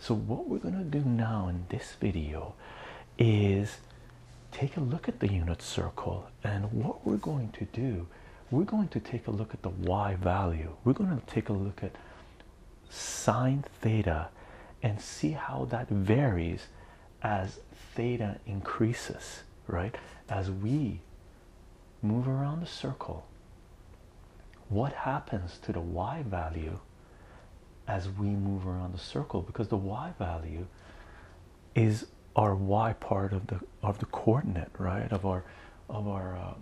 So what we're going to do now in this video is take a look at the unit circle and what we're going to do we're going to take a look at the y value we're going to take a look at sine theta and see how that varies as theta increases right as we move around the circle what happens to the y value as we move around the circle because the y value is our y part of the of the coordinate right of our of our uh,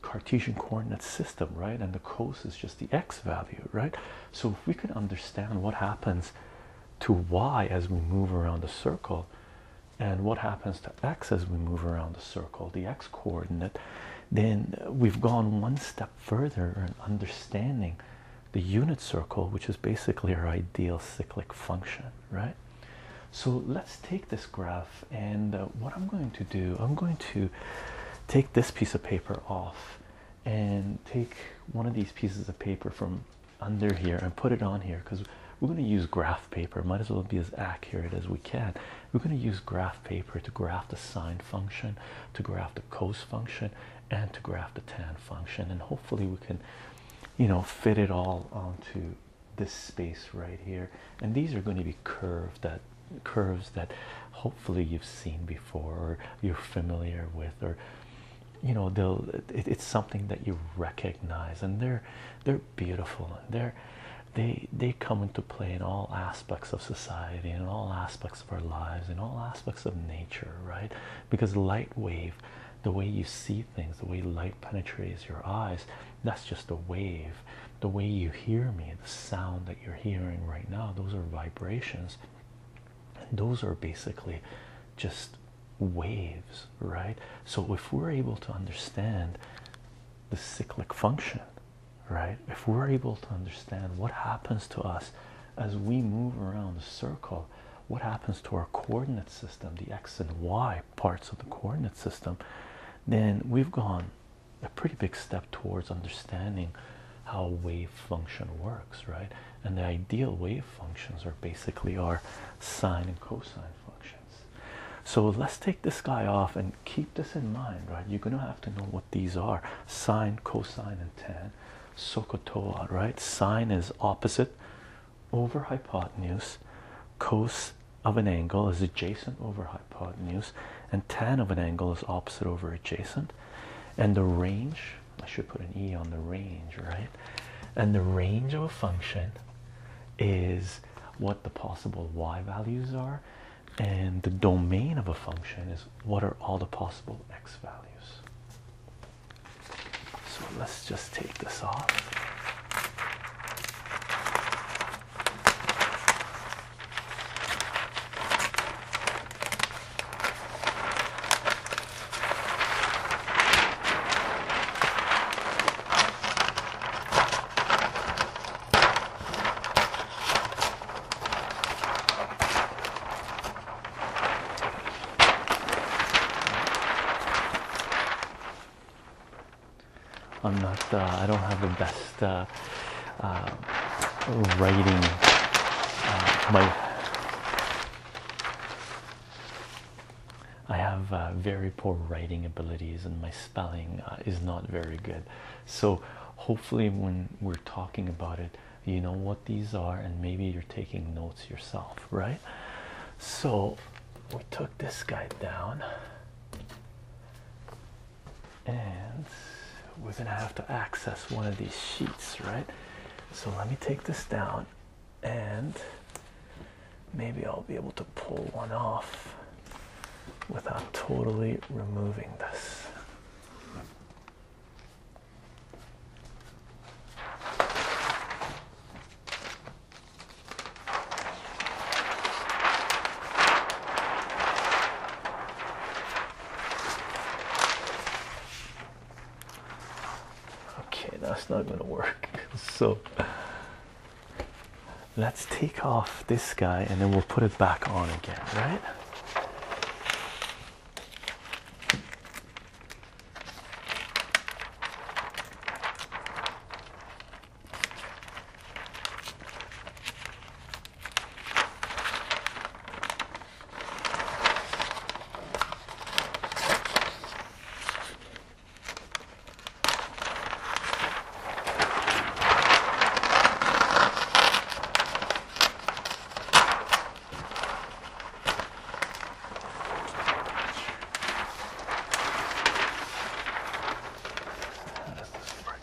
Cartesian coordinate system right and the cos is just the x value right so if we could understand what happens to y as we move around the circle and what happens to x as we move around the circle, the x coordinate, then we've gone one step further in understanding the unit circle, which is basically our ideal cyclic function, right? So let's take this graph, and uh, what I'm going to do, I'm going to take this piece of paper off and take one of these pieces of paper from under here and put it on here because we're going to use graph paper. Might as well be as accurate as we can. We're going to use graph paper to graph the sine function, to graph the cos function, and to graph the tan function. And hopefully, we can, you know, fit it all onto this space right here. And these are going to be curves that curves that hopefully you've seen before or you're familiar with or you know it's something that you recognize and they're they're beautiful and they they they come into play in all aspects of society in all aspects of our lives in all aspects of nature right because light wave the way you see things the way light penetrates your eyes that's just a wave the way you hear me the sound that you're hearing right now those are vibrations and those are basically just waves, right? So if we're able to understand the cyclic function, right? If we're able to understand what happens to us as we move around the circle, what happens to our coordinate system, the x and y parts of the coordinate system, then we've gone a pretty big step towards understanding how wave function works, right? And the ideal wave functions are basically our sine and cosine functions. So let's take this guy off and keep this in mind, right? You're gonna have to know what these are sine, cosine, and tan. Sokotoa, right? Sine is opposite over hypotenuse, cos of an angle is adjacent over hypotenuse, and tan of an angle is opposite over adjacent. And the range, I should put an E on the range, right? And the range of a function is what the possible y values are, and the domain of a function is what are all the possible x values. So let's just take this off. I'm not, uh, I don't have the best uh, uh, writing. my I have uh, very poor writing abilities and my spelling uh, is not very good. So, hopefully, when we're talking about it, you know what these are, and maybe you're taking notes yourself, right? So, we took this guy down, and we're gonna have to access one of these sheets, right? So, let me take this down and maybe I'll be able to pull one off without totally removing this. Okay, that's not gonna work. So let's take off this guy and then we'll put it back on again, right?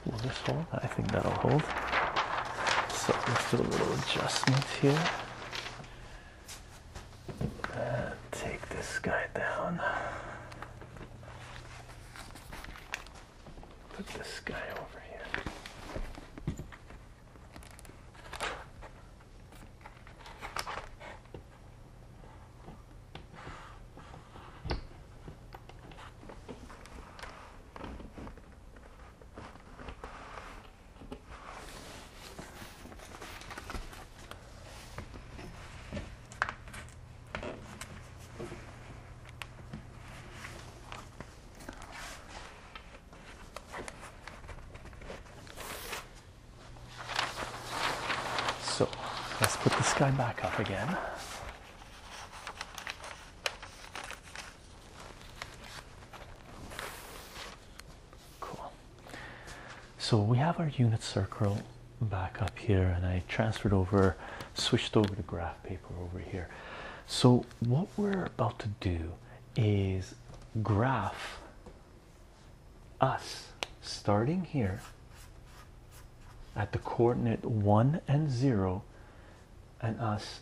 Will this hold? I think that'll hold. So let's do a little adjustment here. Uh, take this guy down. Put this guy over here. So let's put this guy back up again. Cool. So we have our unit circle back up here, and I transferred over, switched over to graph paper over here. So what we're about to do is graph us starting here at the coordinate 1 and 0 and us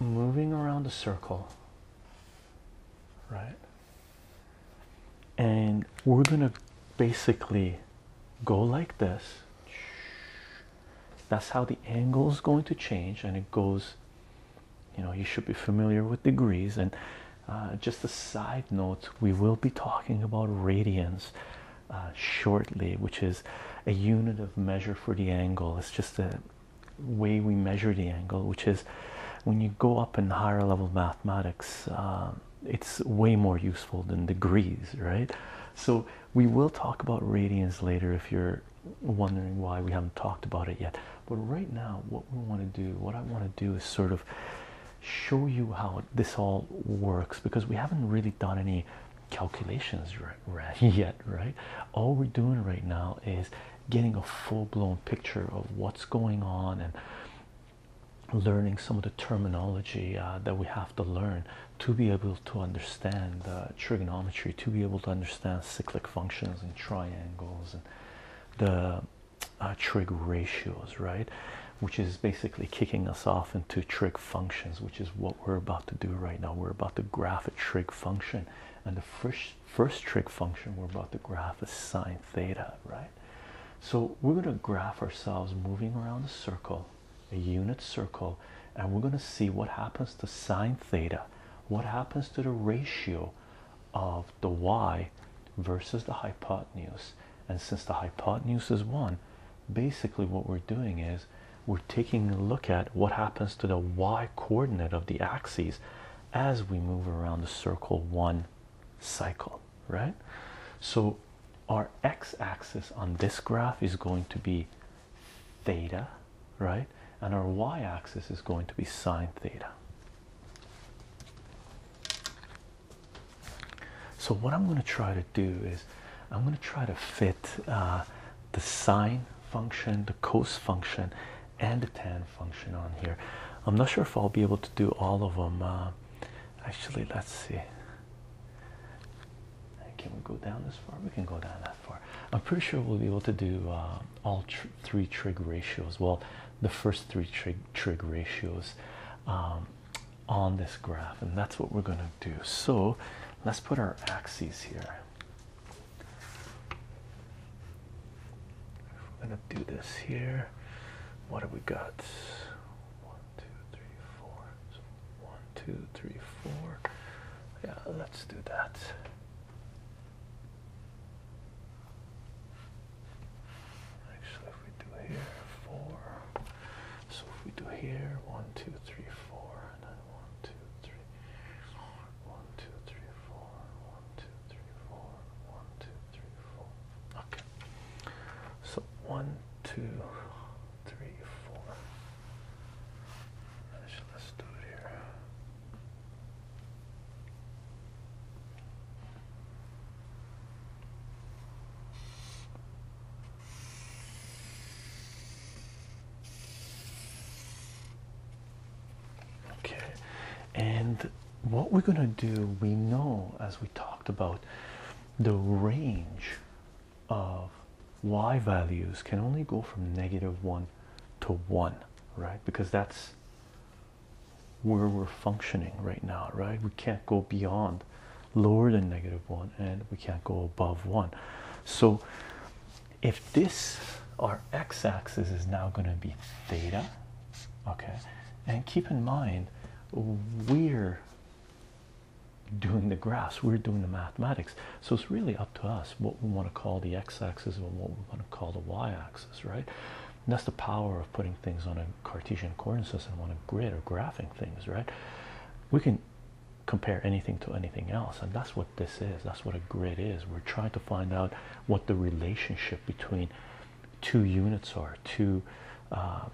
moving around the circle right and we're gonna basically go like this that's how the angle is going to change and it goes you know you should be familiar with degrees and uh, just a side note we will be talking about radians uh, shortly which is a unit of measure for the angle it's just a way we measure the angle which is when you go up in higher level mathematics, uh, it's way more useful than degrees, right? So we will talk about radians later if you're wondering why we haven't talked about it yet. But right now, what we want to do, what I want to do is sort of show you how this all works because we haven't really done any calculations yet, right? All we're doing right now is getting a full-blown picture of what's going on and learning some of the terminology uh, that we have to learn to be able to understand trigonometry to be able to understand cyclic functions and triangles and the uh, trig ratios right which is basically kicking us off into trig functions which is what we're about to do right now we're about to graph a trig function and the first first trig function we're about to graph is sine theta right so we're going to graph ourselves moving around a circle, a unit circle, and we're going to see what happens to sine theta, what happens to the ratio of the y versus the hypotenuse. And since the hypotenuse is 1, basically what we're doing is we're taking a look at what happens to the y coordinate of the axes as we move around the circle 1 cycle, right? So our x axis on this graph is going to be theta, right? And our y axis is going to be sine theta. So, what I'm going to try to do is I'm going to try to fit uh, the sine function, the cos function, and the tan function on here. I'm not sure if I'll be able to do all of them. Uh, actually, let's see. Can we go down this far? We can go down that far. I'm pretty sure we'll be able to do uh, all three trig ratios. Well, the first three trig, trig ratios um, on this graph, and that's what we're going to do. So let's put our axes here. We're gonna do this here. What have we got? One, two, three, four. So one, two, three, four. Yeah, let's do that. Actually, if we do here, four. So if we do here, one, two, three, four, and then one, two, three, four, one, two, three, four, one, two, three. Okay. So one, two, three, four. let's do it here. Okay, and what we're going to do, we know as we talked about the range of y values can only go from negative 1 to 1, right? Because that's where we're functioning right now, right? We can't go beyond lower than negative 1 and we can't go above 1. So if this, our x axis is now going to be theta, Okay, and keep in mind we're doing the graphs, we're doing the mathematics, so it's really up to us what we want to call the x axis and what we want to call the y axis, right? that's the power of putting things on a Cartesian coordinate system on a grid or graphing things, right? We can compare anything to anything else, and that's what this is, that's what a grid is. We're trying to find out what the relationship between two units are, two um,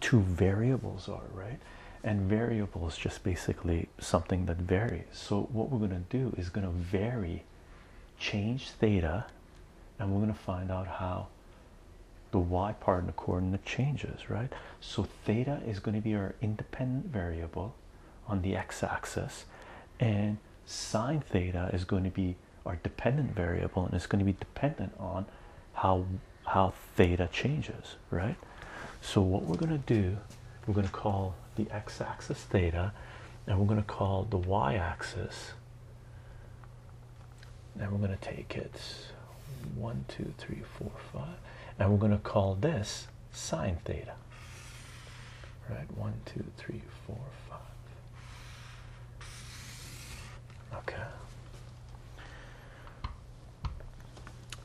two variables are, right? And variables just basically something that varies. So what we're going to do is going to vary, change theta, and we're going to find out how the y part and the coordinate changes, right? So theta is going to be our independent variable on the x-axis and sine theta is going to be our dependent variable and it's going to be dependent on how how theta changes right so what we're going to do we're going to call the x-axis theta and we're going to call the y-axis and we're going to take it one two three four five and we're going to call this sine theta right one two three four five Okay.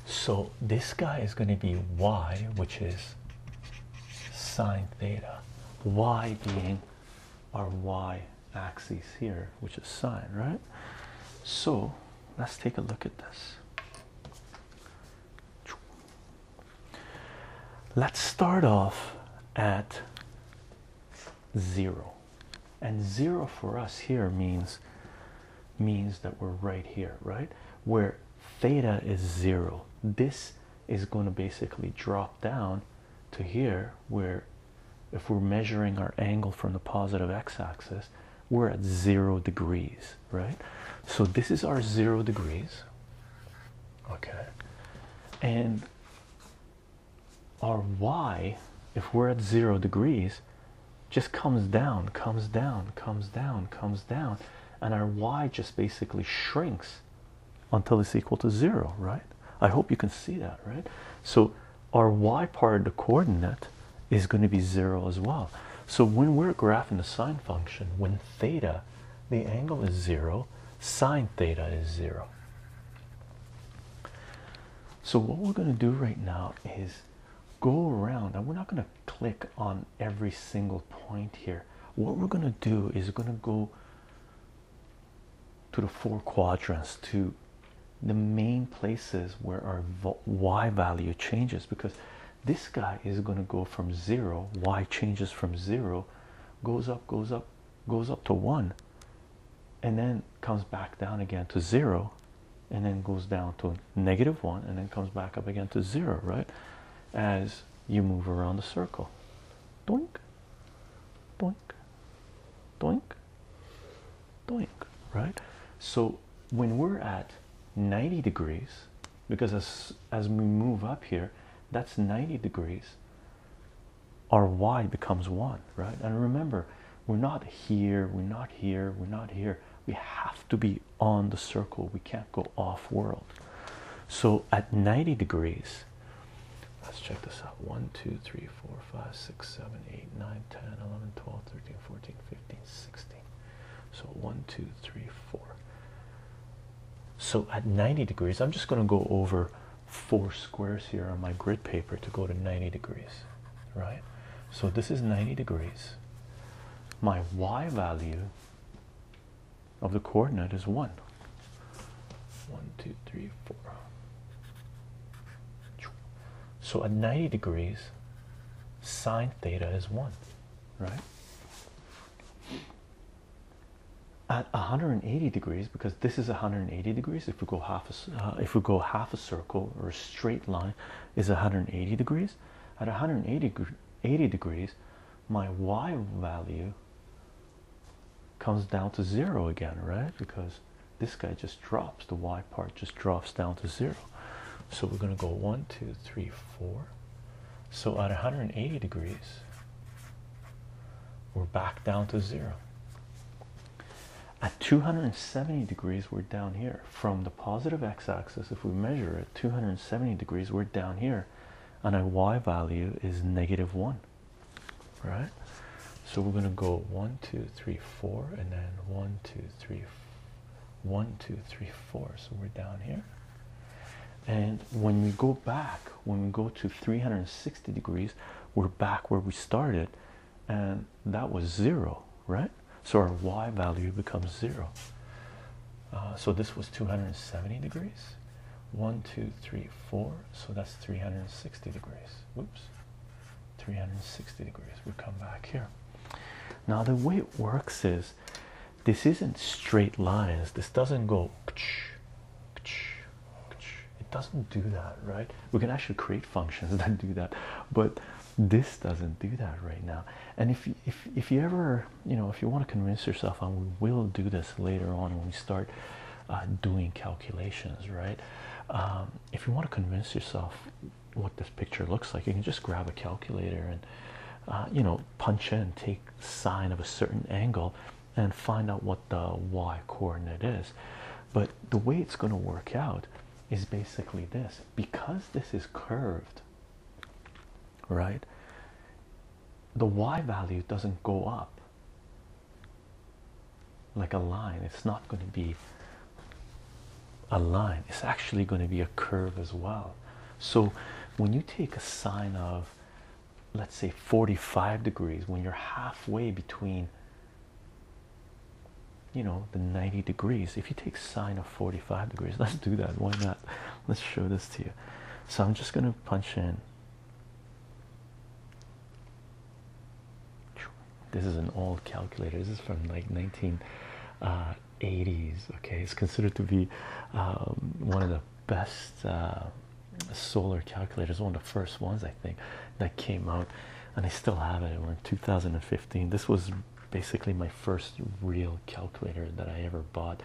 So this guy is going to be y, which is sine theta, y being our y axis here, which is sine, right? So let's take a look at this. Let's start off at zero, and zero for us here means means that we're right here, right? Where theta is zero. This is going to basically drop down to here where if we're measuring our angle from the positive x-axis we're at zero degrees right so this is our zero degrees okay and our y, if we're at zero degrees, just comes down, comes down, comes down, comes down, and our y just basically shrinks until it's equal to zero, right? I hope you can see that, right? So our y part of the coordinate is going to be zero as well. So when we're graphing the sine function, when theta, the angle is zero, sine theta is zero. So what we're going to do right now is go around and we're not going to click on every single point here. What we're going to do is going to go to the four quadrants to the main places where our y value changes because this guy is going to go from zero y changes from zero goes up goes up goes up to one and then comes back down again to zero and then goes down to negative one and then comes back up again to zero right as you move around the circle doink doink doink doink right so when we're at 90 degrees because as as we move up here that's 90 degrees our y becomes one, right? And remember, we're not here, we're not here, we're not here. We have to be on the circle, we can't go off world. So at 90 degrees, let's check this out 1, 2, 3, 4, 5, 6, 7, 8, 9, 10, 11, 12, 13, 14, 15, 16. So 1, 2, 3, 4. So at 90 degrees, I'm just going to go over four squares here on my grid paper to go to 90 degrees, right? So this is 90 degrees. My y value of the coordinate is 1. 1, 2, 3, 4. So at 90 degrees, sine theta is 1, right? at 180 degrees because this is 180 degrees if we go half a, uh, if we go half a circle or a straight line is 180 degrees at 180 degrees my y value comes down to zero again right because this guy just drops the y part just drops down to zero so we're going to go one two three four so at 180 degrees we're back down to zero. At 270 degrees, we're down here. From the positive x axis, if we measure at 270 degrees, we're down here. And our y value is negative 1. Right? So we're going to go 1, 2, 3, 4, and then 1, 1, 2, 3, 4. So we're down here. And when we go back, when we go to 360, degrees we're back where we started and that was zero right so our y value becomes zero uh, so this was 270 degrees one two three four so that's 360 degrees whoops 360 degrees we come back here now the way it works is this isn't straight lines this doesn't go it doesn't do that, right? We can actually create functions that do that, but this doesn't do that right now. And if if if you ever you know if you want to convince yourself, I oh, will do this later on when we start uh, doing calculations, right? Um, if you want to convince yourself what this picture looks like, you can just grab a calculator and uh, you know punch in, take sine of a certain angle, and find out what the y coordinate is. But the way it's going to work out is basically this because this is curved, right? The y value doesn't go up like a line, it's not going to be a line, it's actually going to be a curve as well. So, when you take a sign of let's say 45 degrees when you're halfway between you know the 90 degrees if you take sine of 45 degrees let's do that why not let's show this to you so i'm just going to punch in this is an old calculator this is from like 1980s uh, okay it's considered to be um, one of the best uh, solar calculator is one of the first ones i think that came out and i still have it we're in 2015 this was basically my first real calculator that i ever bought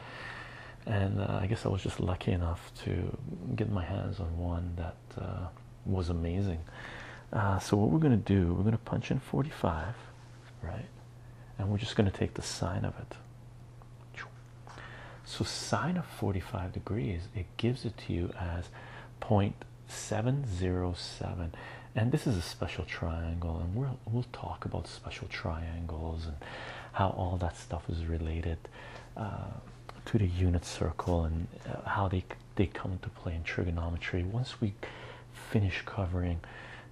and uh, i guess i was just lucky enough to get my hands on one that uh, was amazing uh, so what we're going to do we're going to punch in 45 right and we're just going to take the sign of it so sine of 45 degrees, it gives it to you as 0.707. And this is a special triangle, and we'll we'll talk about special triangles and how all that stuff is related uh, to the unit circle and uh, how they they come into play in trigonometry. Once we finish covering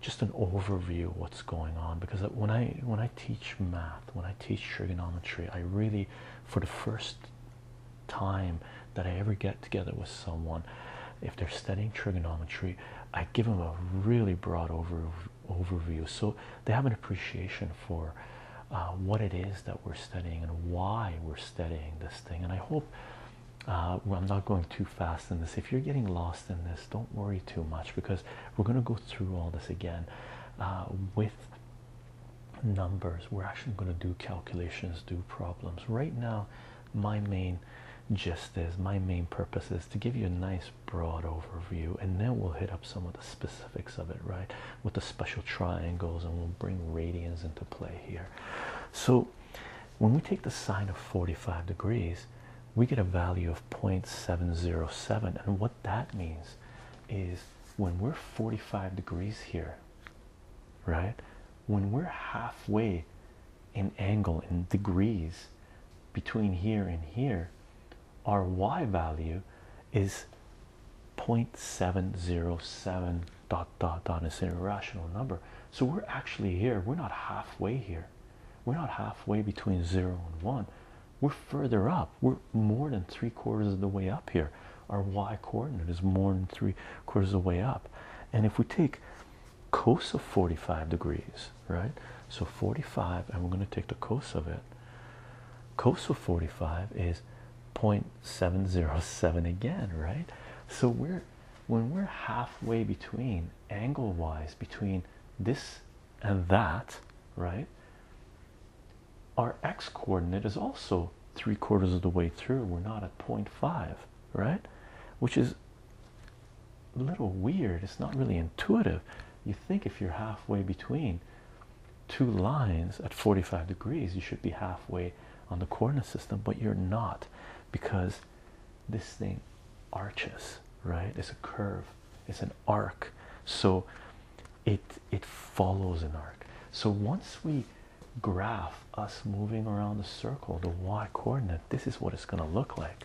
just an overview of what's going on, because when I when I teach math when I teach trigonometry. I really, for the first time that I ever get together with someone, if they're studying trigonometry, I give them a really broad overview so they have an appreciation for uh, what it is that we're studying and why we're studying this thing. And I hope. Uh, I'm not going too fast in this. If you're getting lost in this, don't worry too much because we're going to go through all this again uh, with numbers we're actually going to do calculations do problems right now my main gist is my main purpose is to give you a nice broad overview and then we'll hit up some of the specifics of it right with the special triangles and we'll bring radians into play here so when we take the sine of 45 degrees we get a value of 0.707 and what that means is when we're 45 degrees here, right? When we're halfway in angle in degrees between here and here, our y value is 0.707 dot dot dot. It's an irrational number. So we're actually here. We're not halfway here. We're not halfway between zero and one. We're further up. We're more than three quarters of the way up here. Our y coordinate is more than three quarters of the way up. And if we take cosine 45 degrees, right? So 45, and we're going to take the cosine of it. Cosine 45 is point seven zero seven again, right? So we're when we're halfway between angle wise between this and that, right? our x coordinate is also three quarters of the way through. We're not at 0.5, right? Which is a little weird. It's not really intuitive. You think if you're halfway between two lines at 45 degrees, you should be halfway on the coordinate system, but you're not because this thing arches, right? It's a curve, it's an arc. So it it follows an arc so once we graph us moving around the circle the y coordinate this is what it's going to look like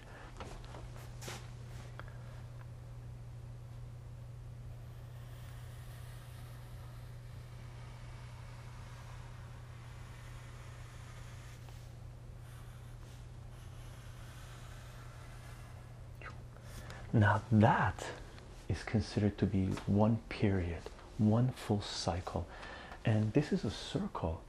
now, that is considered to be one period, one full cycle, and this is a circle.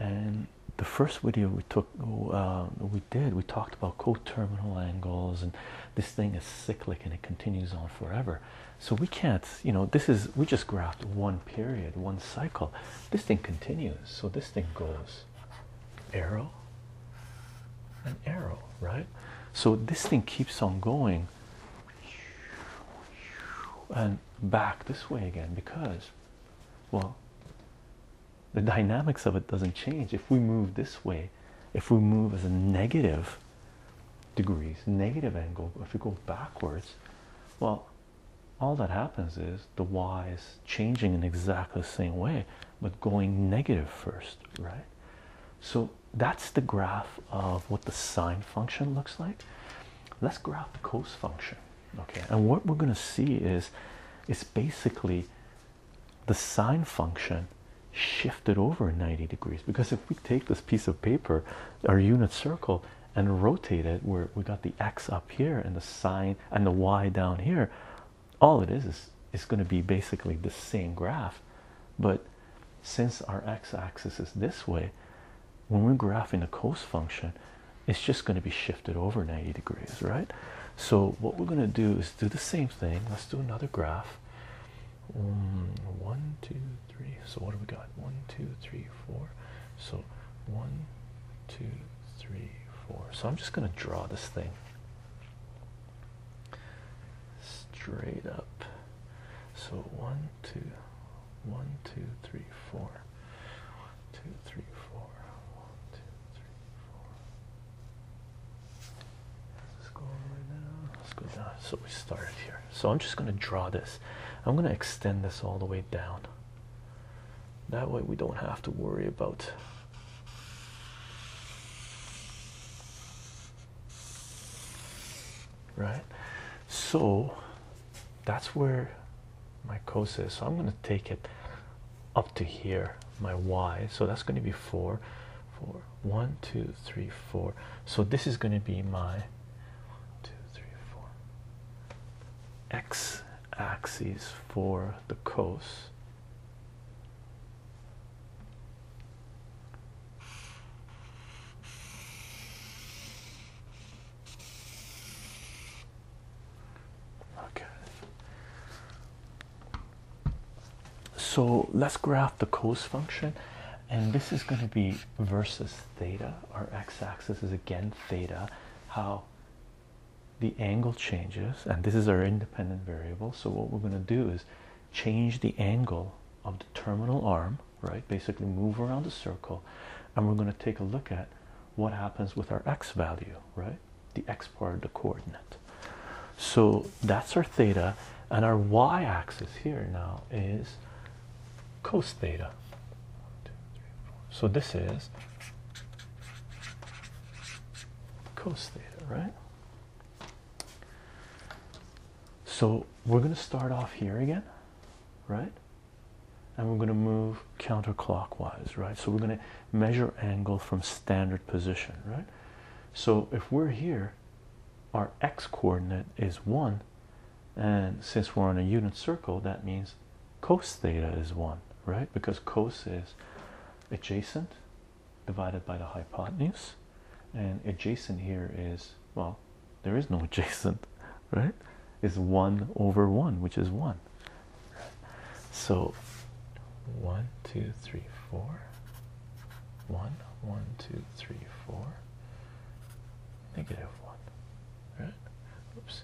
And the first video we took, uh, we did, we talked about coterminal angles, and this thing is cyclic and it continues on forever. So, we can't, you know, this is we just graphed one period, one cycle. This thing continues, so this thing goes arrow, an arrow, right? So this thing keeps on going and back this way again because, well, the dynamics of it doesn't change. If we move this way, if we move as a negative degrees, negative angle, if we go backwards, well, all that happens is the y is changing in exactly the same way, but going negative first, right? So that's the graph of what the sine function looks like. Let's graph the cosine function. Okay, and what we're going to see is is basically the sine function shifted over 90 degrees because if we take this piece of paper, our unit circle, and rotate it, where we got the x up here and the sine and the y down here, all it is is it's going to be basically the same graph but since our x-axis is this way when we're graphing a cos function it's just going to be shifted over 90 degrees right so what we're going to do is do the same thing let's do another graph mm, one two three so what do we got one two three four so one two three four so i'm just going to draw this thing straight up. So one, two, one, two, three, four. One, two, three, four. One, two, right now. Let's go down. So we started here. So I'm just gonna draw this. I'm gonna extend this all the way down. That way we don't have to worry about Right, so that's where my cos is. So I'm going to take it up to here, my y. So that's going to be four, four. One, two, four, four, one, two, three, four. So this is going to be my two, three, four x axis for the cos Okay. So let's graph the cos function, and this is going to be versus theta. Our x-axis is again theta. How the angle changes, and this is our independent variable. So what we're going to do is change the angle of the terminal arm, right? Basically, move around the circle, and we're going to take a look at what happens with our x value, right? The x part of the coordinate. So that's our theta, and our y axis here now is cos theta. So this is cos theta, right? So we're going to start off here again, right? And we're going to move counterclockwise, right? So we're going to measure angle from standard position, right? So if we're here, our x coordinate is 1, and since we're on a unit circle, that means cos theta is 1, right? Because cos is adjacent divided by the hypotenuse and adjacent here is well there is no adjacent right is 1 over 1 which is 1 so 1 2 3 4 1 1 2 3 4 negative 1 right oops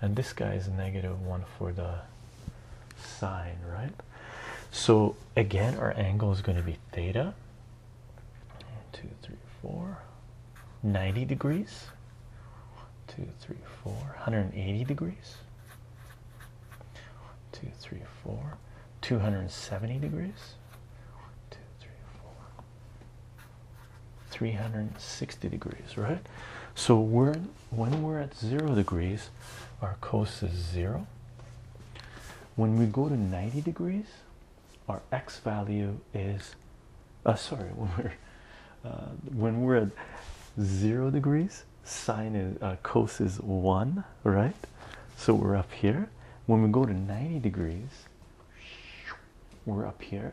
and this guy is negative 1 for the sine, right? So again, our angle is going to be theta. One, two, three, four. 90 degrees. Two, three, four. 180 degrees. One, two, three, four. 270 degrees. One, two, three, four. 360 degrees, right? So we're when we're at zero degrees, our cosine is zero when we go to 90 degrees our x value is uh, sorry when we're uh, when we're at zero degrees sine is uh, cos is one right so we're up here when we go to 90 degrees we're up here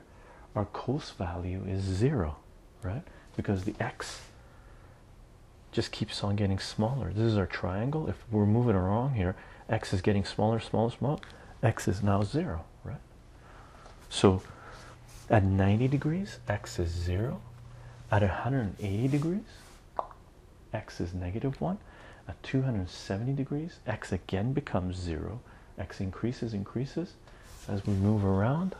our cos value is zero right because the x just keeps on getting smaller. This is our triangle. If we're moving around here, x is getting smaller, smaller, smaller. X is now zero, right? So at 90 degrees, x is zero. At 180 degrees, x is negative one. At 270 degrees, x again becomes zero. X increases, increases as we move around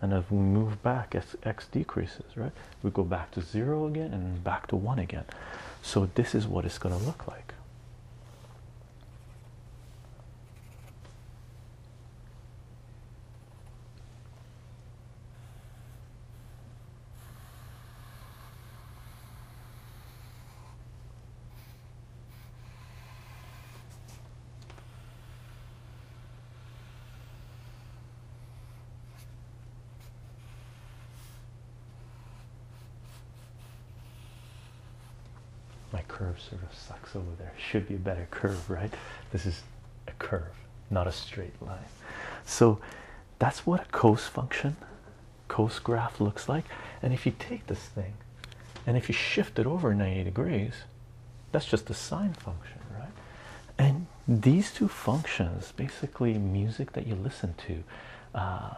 and if we move back as x decreases right we go back to zero again and back to one again so this is what it's going to look like my curve sort of sucks over there. Should be a better curve, right? This is a curve, not a straight line. So that's what a cos function, cos graph looks like. And if you take this thing and if you shift it over 90 degrees, that's just the sine function, right? And these two functions, basically music that you listen to, uh,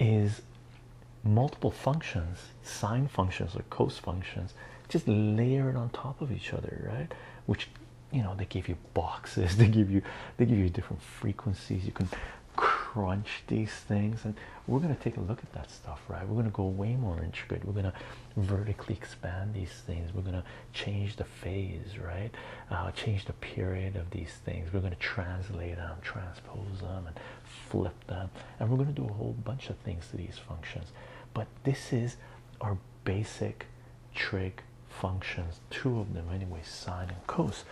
is multiple functions, sine functions or cos functions, just layered on top of each other, right? Which you know they give you boxes, they give you they give you different frequencies. You can crunch these things, and we're gonna take a look at that stuff, right? We're gonna go way more intricate. We're gonna vertically expand these things we're going to change the phase right uh, change the period of these things we're going to translate them transpose them and flip them and we're going to do a whole bunch of things to these functions but this is our basic trig functions two of them anyway sine and cos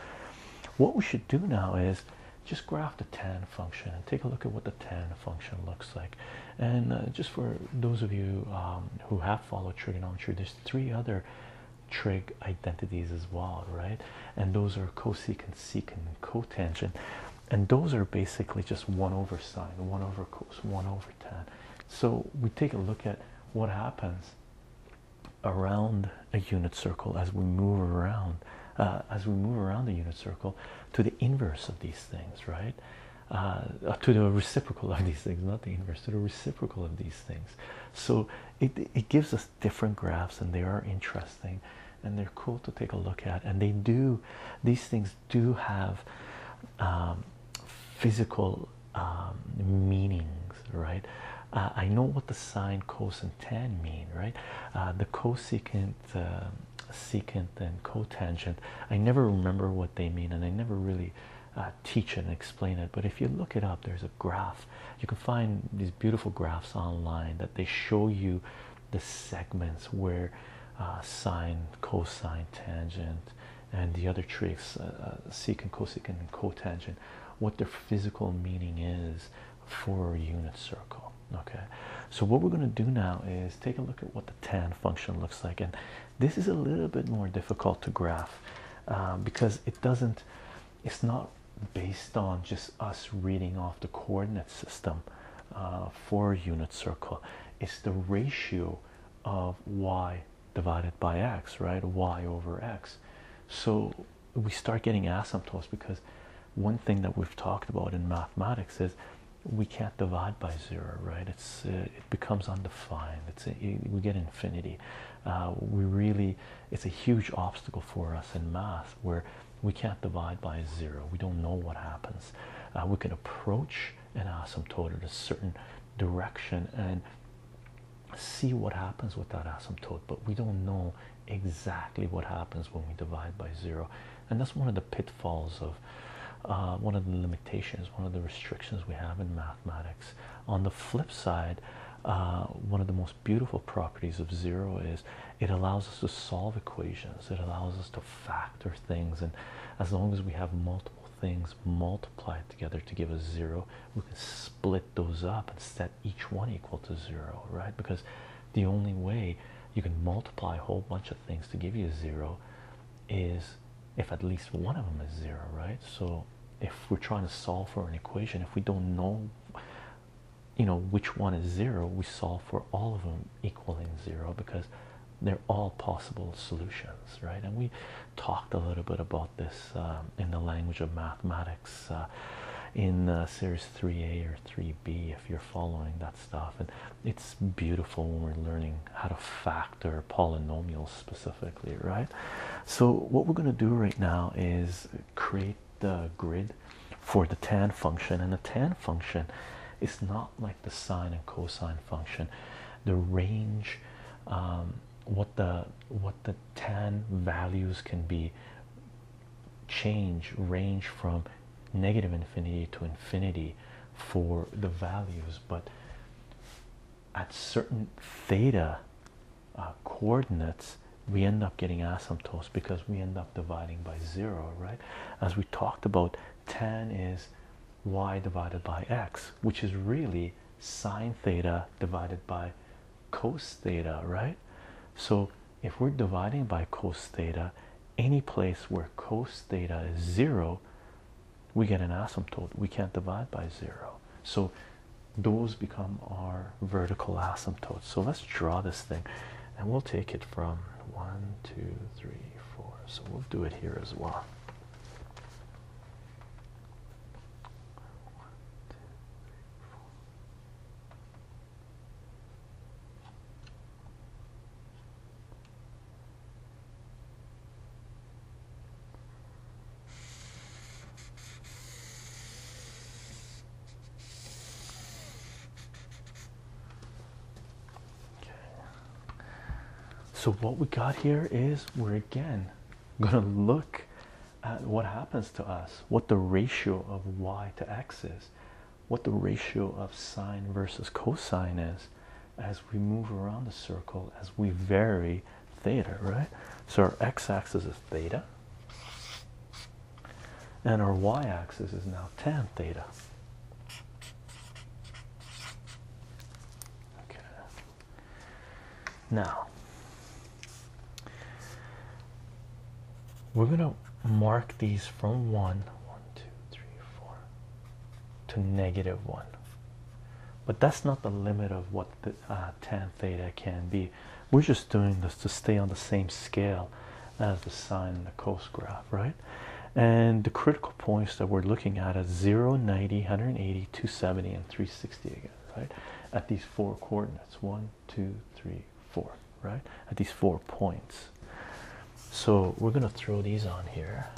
what we should do now is just graph the tan function and take a look at what the tan function looks like and uh, just for those of you um, who have followed trigonometry, there's three other trig identities as well, right? And those are cosecant, secant, cotangent. And those are basically just 1 over sine, 1 over cos, 1 over tan. So we take a look at what happens around a unit circle as we move around, uh, as we move around the unit circle to the inverse of these things, right? Uh, to the reciprocal of these things, not the inverse, to the reciprocal of these things. So it, it gives us different graphs, and they are interesting and they're cool to take a look at. And they do, these things do have um, physical um, meanings, right? Uh, I know what the sine, cosine, tan mean, right? Uh, the cosecant, um, secant, and cotangent. I never remember what they mean, and I never really teach it and explain it but if you look it up there's a graph you can find these beautiful graphs online that they show you the segments where uh, sine cosine tangent and the other tricks uh, uh, secant cosecant cotangent what their physical meaning is for a unit circle okay so what we're going to do now is take a look at what the tan function looks like and this is a little bit more difficult to graph um, because it doesn't, it's not based on just us reading off the coordinate system uh, for a unit circle, it's the ratio of y divided by x, right? y over x. So we start getting asymptotes because one thing that we've talked about in mathematics is we can't divide by zero, right? It's uh, it becomes undefined. we get infinity. Uh, we really, it's a huge obstacle for us in math where we can't divide by zero. We don't know what happens. Uh, we can approach an asymptote in a certain direction and see what happens with that asymptote, but we don't know exactly what happens when we divide by zero. And that's one of the pitfalls of uh, one of the limitations, one of the restrictions we have in mathematics. On the flip side, uh, one of the most beautiful properties of zero is it allows us to solve equations, it allows us to factor things, and as long as we have multiple things multiplied together to give us zero, we can split those up and set each one equal to zero, right? Because the only way you can multiply a whole bunch of things to give you zero is if at least one of them is zero, right? So if we're trying to solve for an equation, if we don't know, you know, which one is zero, we solve for all of them equaling zero because they're all possible solutions, right? And we talked a little bit about this um, in the language of mathematics uh, in uh, series 3A or 3B if you're following that stuff. And it's beautiful when we're learning how to fact factor polynomials specifically, right? So, what we're going to do right now is create the grid for the tan function, and the tan function is not like the sine and cosine function. The range, um, what the what the tan values can be change range from negative infinity to infinity for the values, but at certain theta uh, coordinates we end up getting asymptotes because we end up dividing by zero right as we talked about tan is y divided by x which is really sine theta divided by cos theta right so if we're dividing by cos theta any place where cos theta is zero we get an asymptote. We can't divide by zero. So those become our vertical asymptotes. So let's draw this thing and we'll take it from one, two, three, four. So we'll do it here as well. Okay. So what we got here is we're again going to look at what happens to us, what the ratio of y to x is, what the ratio of sine versus cosine is, as we move around the circle as we vary theta, right? So our x-axis is theta, and our y-axis is now tan theta. Okay. Now we're gonna mark these from one, one, two, three, four to negative 1 but that's not the limit of what uh, tan theta can be we're just doing this to stay on the same scale as the sine and the cos graph right and the critical points that we're looking at are 0 90 180 270 and 360 again right at these four coordinates one two three four right at these four points so we're going to throw these on here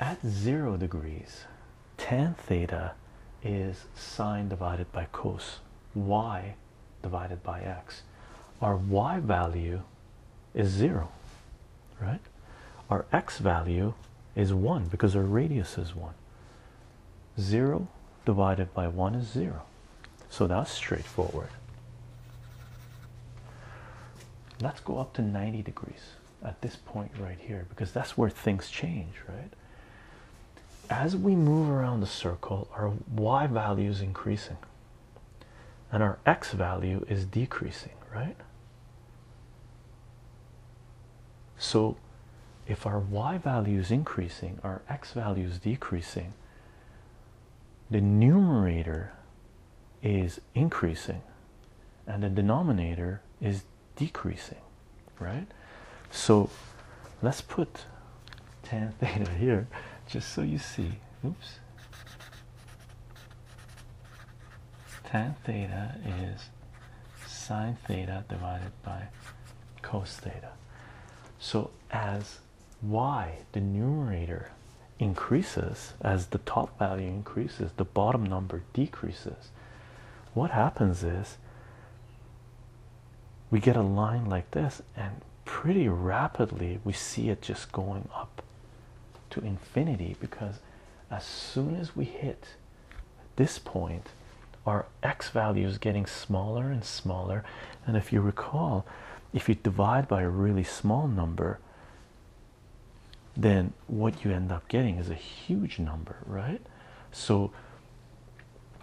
at zero degrees, tan theta is sine divided by cos y divided by x. Our y value is zero, right? Our x value is one because our radius is one. Zero divided by one is zero. So that's straightforward. Let's go up to 90 degrees at this point right here because that's where things change, right? As we move around the circle, our y value is increasing and our x value is decreasing, right? So if our y value is increasing, our x value is decreasing, the numerator is increasing and the denominator is decreasing, right? So let's put tan theta here just so you see. Oops. Tan theta is sine theta divided by cos theta. So as y, the numerator increases, as the top value increases, the bottom number decreases. What happens is we get a line like this, and pretty rapidly we see it just going up to infinity because as soon as we hit this point, our x value is getting smaller and smaller. And if you recall, if you divide by a really small number, then what you end up getting is a huge number, right? So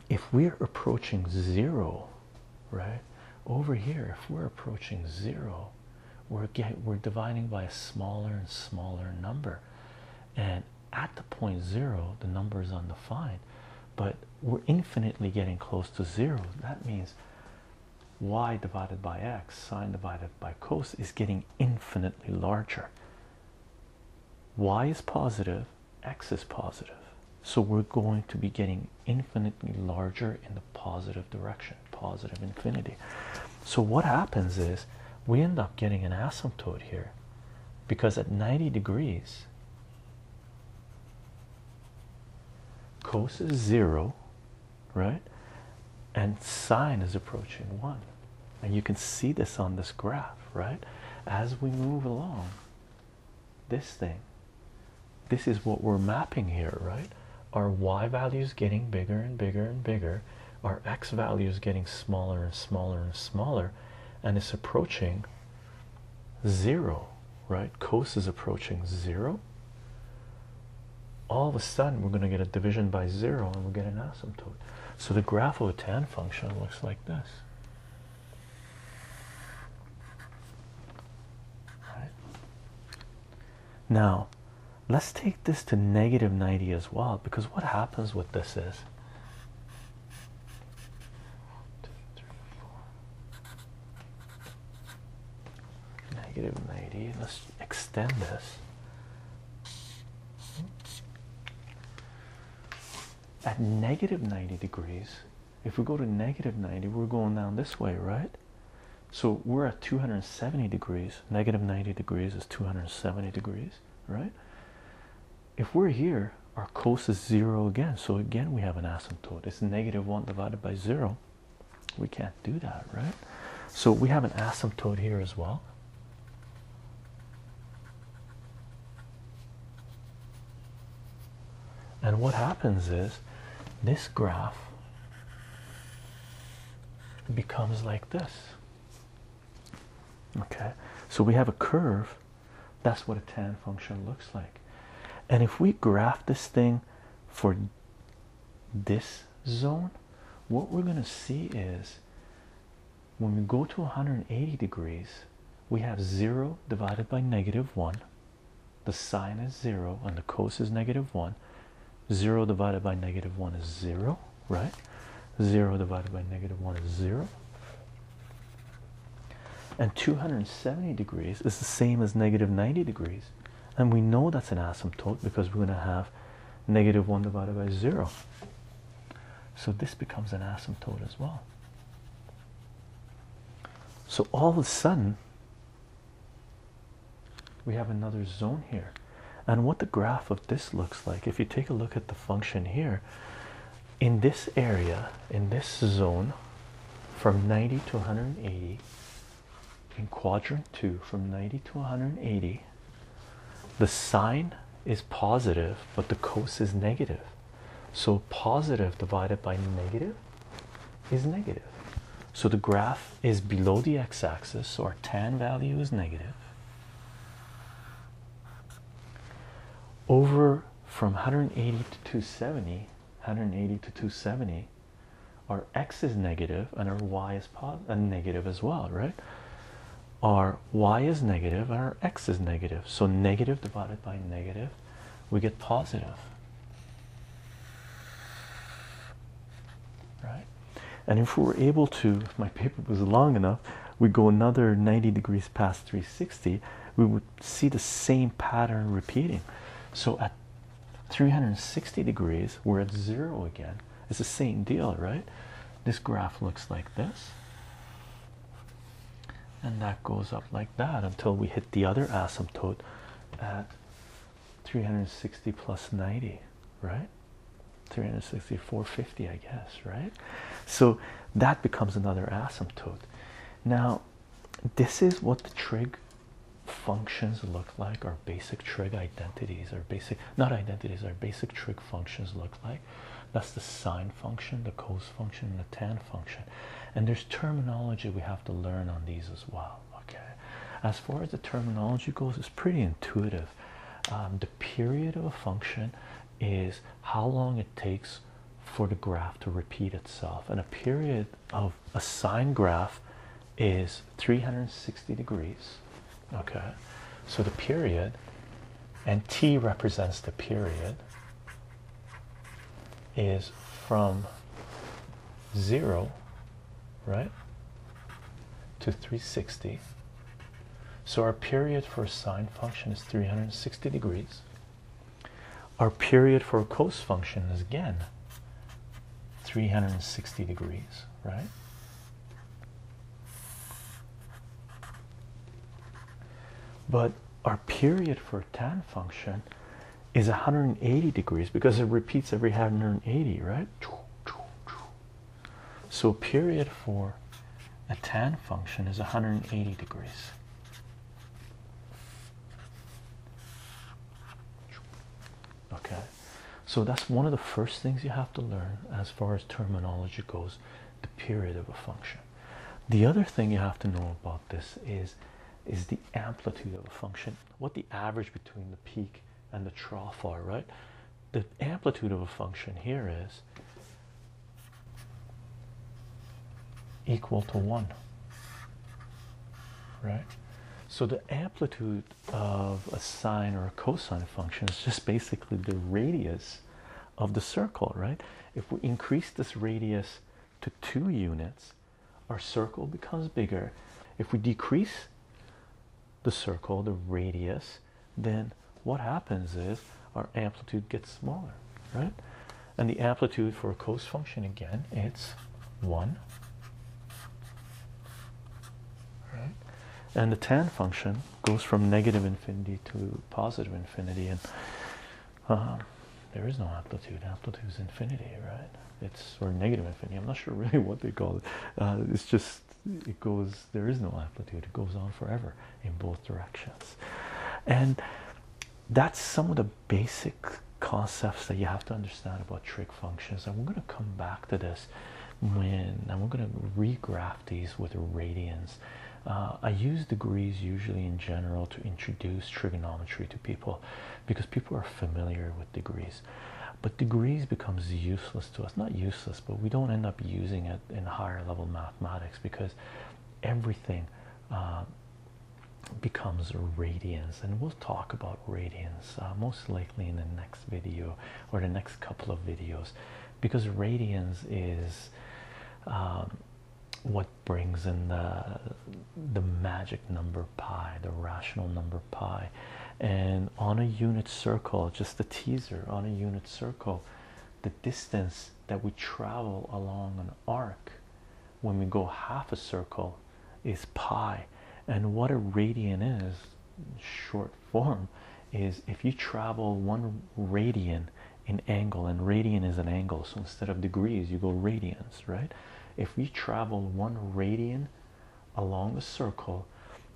if we're approaching zero, right over here, if we're approaching zero, we're get we're dividing by a smaller and smaller number, and at the point zero, the number is undefined, but we're infinitely getting close to zero. That means y divided by x sine divided by cos is getting infinitely larger. y is positive, x is positive. So we're going to be getting infinitely larger in the positive direction, positive infinity. So what happens is we end up getting an asymptote here because at 90 degrees cos is 0 right? And sine is approaching one. And you can see this on this graph, right? As we move along, this thing, this is what we're mapping here, right? Our y values getting bigger and bigger and bigger, our x values getting smaller and smaller and smaller, and it's approaching zero, right? Cos is approaching zero, all of a sudden we're going to get a division by zero and we'll get an asymptote. So the graph of a tan function looks like this. Now, let's take this to negative 90 as well because what happens with this is Negative 90. Let's extend this. At negative 90 degrees, if we go to negative 90, we're going down this way, right? So we're at 270 degrees. Negative 90 degrees is 270 degrees, right? If we're here, our cosine is zero again. So again, we have an asymptote. It's negative one divided by zero. We can't do that, right? So we have an asymptote here as well. And what happens is this graph becomes like this. Okay, so we have a curve. That's what a tan function looks like. And if we graph this thing for this zone, what we're going to see is when we go to 180 degrees, we have 0 divided by negative 1. The sine is 0 and the cosine negative is negative 1. 0 divided by negative 1 is 0, right? 0 divided by negative 1 is 0. And 270 degrees is the same as negative 90 degrees. And we know that's an asymptote because we're going to have negative 1 divided by 0. So this becomes an asymptote as well. So all of a sudden, we have another zone here. And what the graph of this looks like, if you take a look at the function here, in this area, in this zone, from 90 to 180, in quadrant two from 90 to 180, the sine is positive, but the cos is negative. So positive divided by negative is negative. So the graph is below the x-axis, so our tan value is negative. Over from 180 to 270, 180 to 270, our x is negative and our y is and uh, negative as well, right? Our y is negative and our x is negative. So negative divided by negative, we get positive. Right? And if we were able to, if my paper was long enough, we go another 90 degrees past 360, we would see the same pattern repeating. So at 360 degrees, we're at zero again. It's the same deal, right? This graph looks like this, and that goes up like that until we hit the other asymptote at 360 plus 90, right? 360, 450, I guess, right? So that becomes another asymptote. Now, this is what the trig functions look like, our basic trig identities, our basic not identities, our basic trig functions look like. That's the sine function, the cos function, and the tan function. And there's terminology we have to learn on these as well. Okay. As far as the terminology goes, it's pretty intuitive. Um, the period of a function is how long it takes for the graph to repeat itself, and a period of a sine graph is 360 degrees. Okay, so the period and T represents the period is from zero, right, to 360. So our period for a sine function is 360 degrees. Our period for a cos function is again 360 degrees right? But our period for tan function is 180 degrees because it repeats every 180, right? So period for a tan function is 180 degrees. Okay. So that's one of the first things you have to learn as far as terminology goes, the period of a function. The other thing you have to know about this is is the amplitude of a function, what the average between the peak and the trough are, right? The amplitude of a function here is equal to 1, right? So the amplitude of a sine or a cosine function is just basically the radius of the circle, right? If we increase this radius to two units, our circle becomes bigger. If we decrease the circle, the radius, then what happens is our amplitude gets smaller, right? And the amplitude for a cos function again, it's 1 right? And the tan function goes from negative infinity to positive infinity, and um, there is no amplitude. Amplitude is infinity, right? It's or negative infinity. I'm not sure really what they call it. Uh, it's just it goes. There is no amplitude. It goes on forever in both directions, and that's some of the basic concepts that you have to understand about trade functions and we're going to come back to this when and we're going to regraph these with radians uh, i use degrees usually in general to introduce trigonometry to people because people are familiar with degrees but degrees becomes useless to us not useless but we don't end up using it in higher level mathematics because everything uh, becomes radians and we'll talk about radians uh, most likely in the next video or the next couple of videos because radians is um, what brings in the the magic number pi the rational number pi and on a unit circle just a teaser on a unit circle the distance that we travel along an arc when we go half a circle is pi and what a radian is short form is if you travel one radian in angle and radian is an angle so instead of degrees you go radians right if we travel one radian along the circle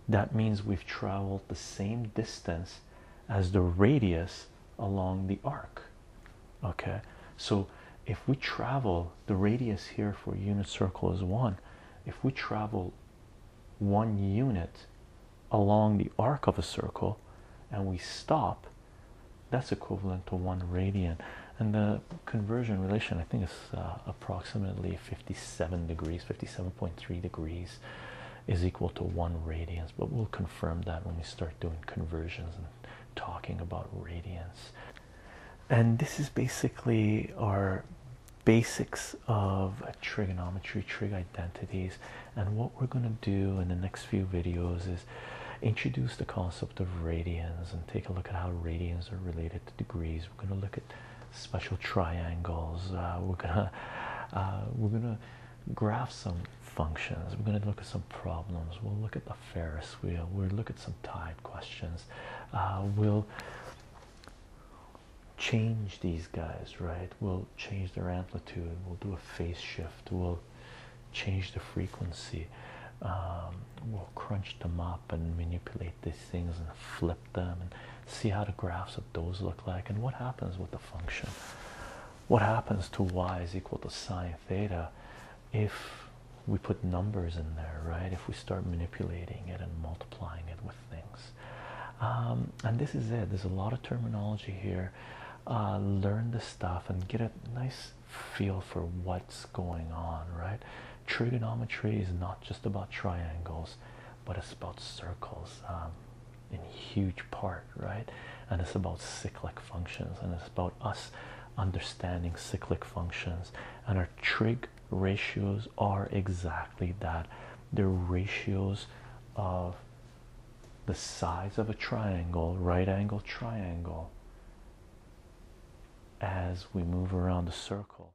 that means we've traveled the same distance as the radius along the arc okay so if we travel the radius here for unit circle is one if we travel one unit along the arc of a circle and we stop, that's equivalent to one radian. And the conversion relation, I think, is uh, approximately 57 degrees, 57.3 degrees is equal to one radians. But we'll confirm that when we start doing conversions and talking about radians. And this is basically our basics of trigonometry, trig identities, and what we're going to do in the next few videos is introduce the concept of radians and take a look at how radians are related to degrees. We're going to look at special triangles. Uh, we're gonna uh, we're gonna graph some functions. We're gonna look at some problems. We'll look at the Ferris wheel. We'll look at some tide questions. Uh, we'll change these guys, right? We'll change their amplitude, we'll do a phase shift, we'll change the frequency, um, we'll crunch them up and manipulate these things and flip them and see how the graphs of those look like and what happens with the function. What happens to y is equal to sine theta if we put numbers in there, right? If we start manipulating it and multiplying it with things. Um, and this is it. There's a lot of terminology here. Uh, learn the stuff and get a nice feel for what's going on, right? Trigonometry is not just about triangles, but it's about circles um, in huge part, right? And it's about cyclic functions, and it's about us understanding cyclic functions and our trig ratios are exactly that the ratios of the size of a triangle right angle triangle as we move around the circle